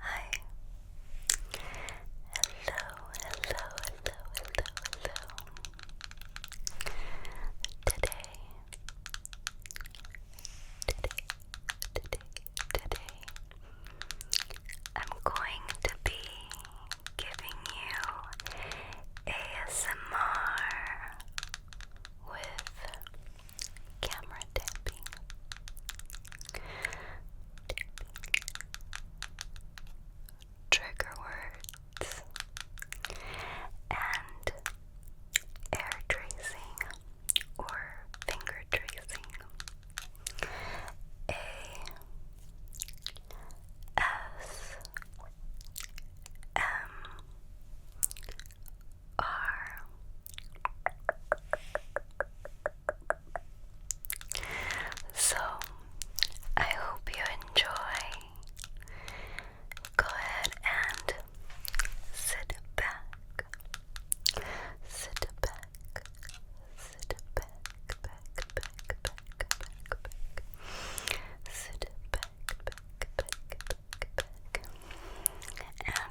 Hi. Hello, hello, hello, hello, hello. Today, today, today, today, I'm going to be giving you ASMR with camera tapping. Trigger words and air tracing or finger tracing. A S M are so I hope you enjoy. Go ahead and sit back, sit back, sit back, back, back, back, back, back, sit back, back, back, back, back,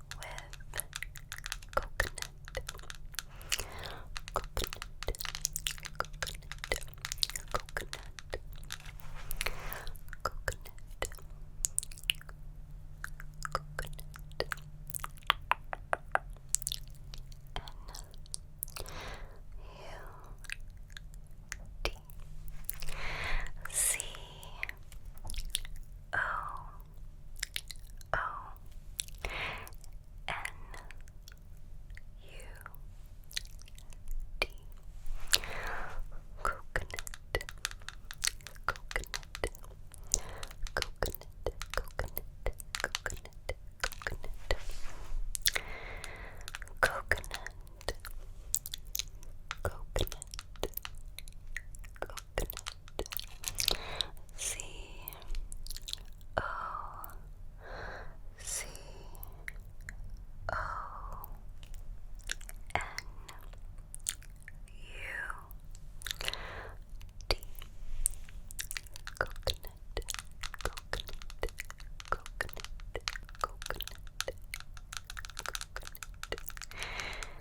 with coconut. Coconut, coconut, coconut, coconut, coconut, and U D C O O N U D Coconut Coconut Coconut Coconut Coconut Coconut Coconut Coconut Coconut Coconut. C O C O N U D. Coconut. Coconut. Coconut. Coconut. Coconut.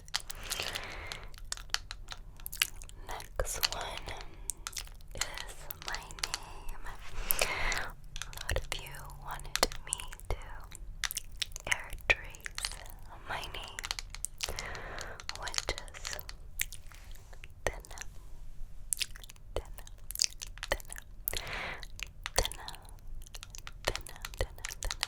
Next one is my name. A lot of you wanted me to air trace my name, which is Dina, Dina, Dina, Dina, Dina, Dina, Dina,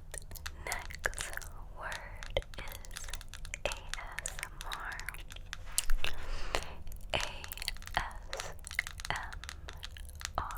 Next word is ASMR. ASMR. ASMR. ASMR.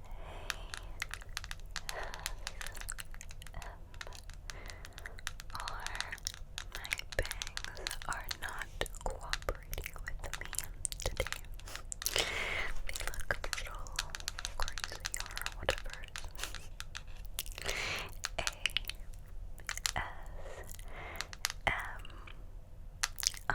my bangs are not cooperating with me today. They look a little crazy or whatever. A S M R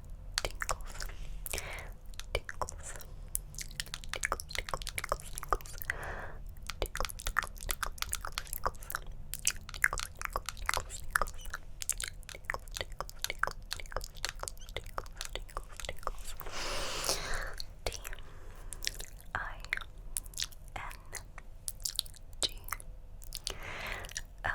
tingles, tingles, tingles, tingles, tingles, tingles, tingles, tingles, L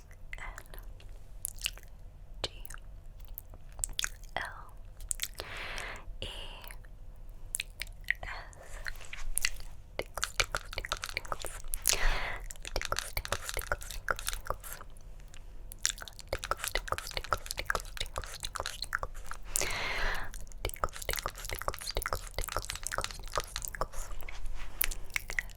N G L E S Tickles, tickles, tickles, tickles. Tickles, tickles, tickles, tickles, tickles. Tickles, tickles, tickles, tickles, tickles, tickles, tickles. Tickles, tickles, tickles, tickles, tickles, tickles, tickles,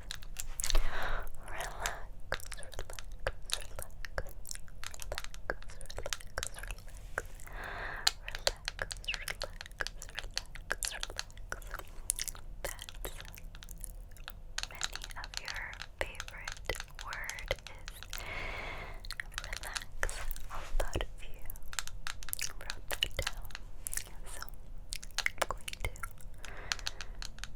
relax, relax. Many of your favorite word is relax. All thought of you wrote that down. So I'm going to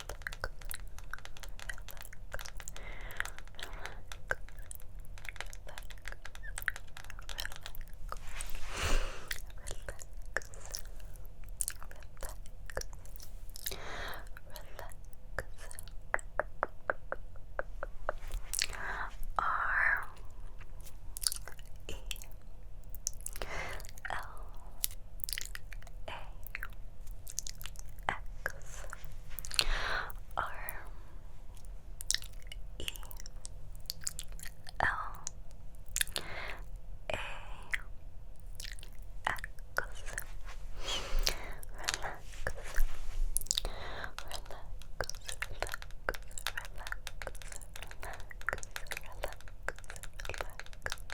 R E L A X R E L A X Relax Relax, relax, relax, relax, relax, relax,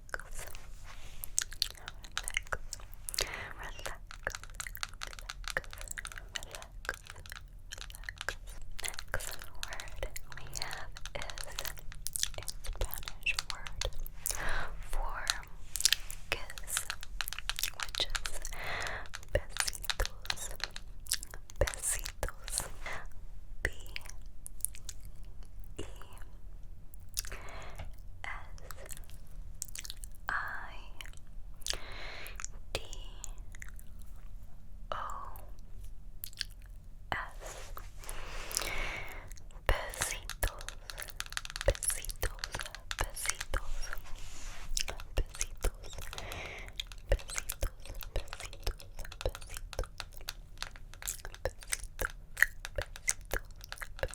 relax, relax, relax. Next word we have is a Spanish word for kiss, which is besitos, besitos, b e I D O S Besitos, besitos, besitos, besitos, besitos, besitos, besitos. Besitos, besitos,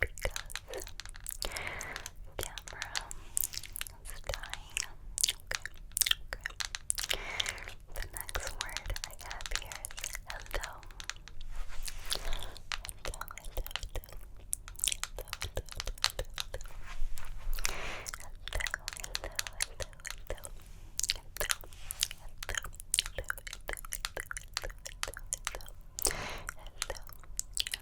because camera is dying. The next word I have here is hello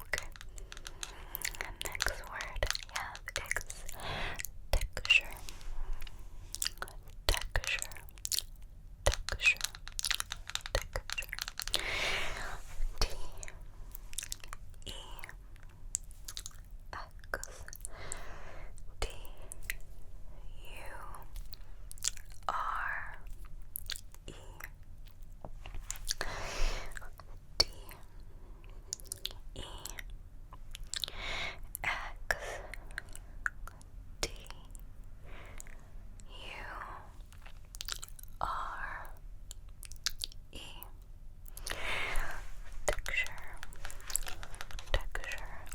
Okay. And next word I have is texture. Texture. Texture. Texture. T E X D R E D E X D U R E texture texture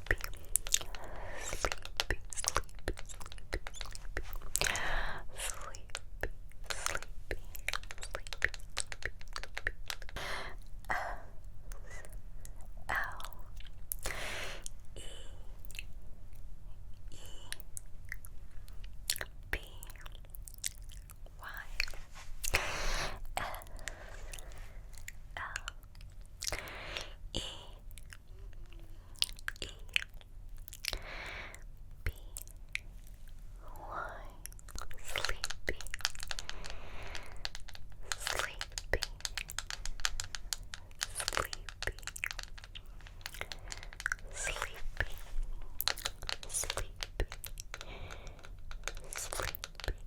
sleepy, sleepy, sleepy, sleepy, sleepy, sleepy, sleepy, sleepy, sleepy. S L E E B Y S L E E B Y sleepy sleepy sleepy sleepy sleepy sleepy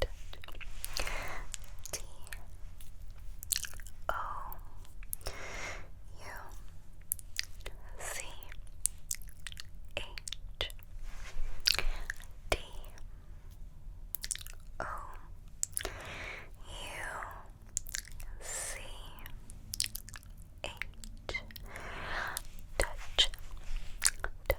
touch. T O U C H D O U C H touch touch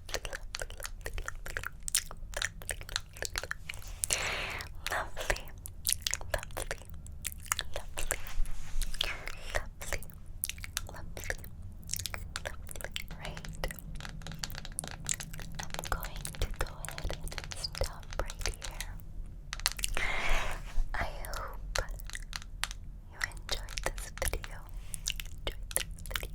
lovely, lovely, lovely, lovely, lovely, right? I'm going to go ahead and stop right here. I hope you enjoyed this video. Enjoyed this video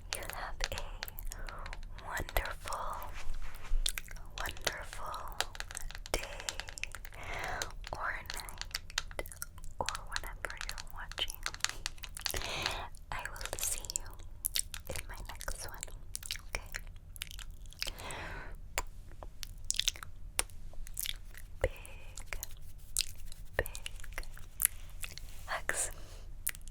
you have a wonderful, wonderful day or night or whenever you're watching I will see you in my next one, okay? Big, big hugs.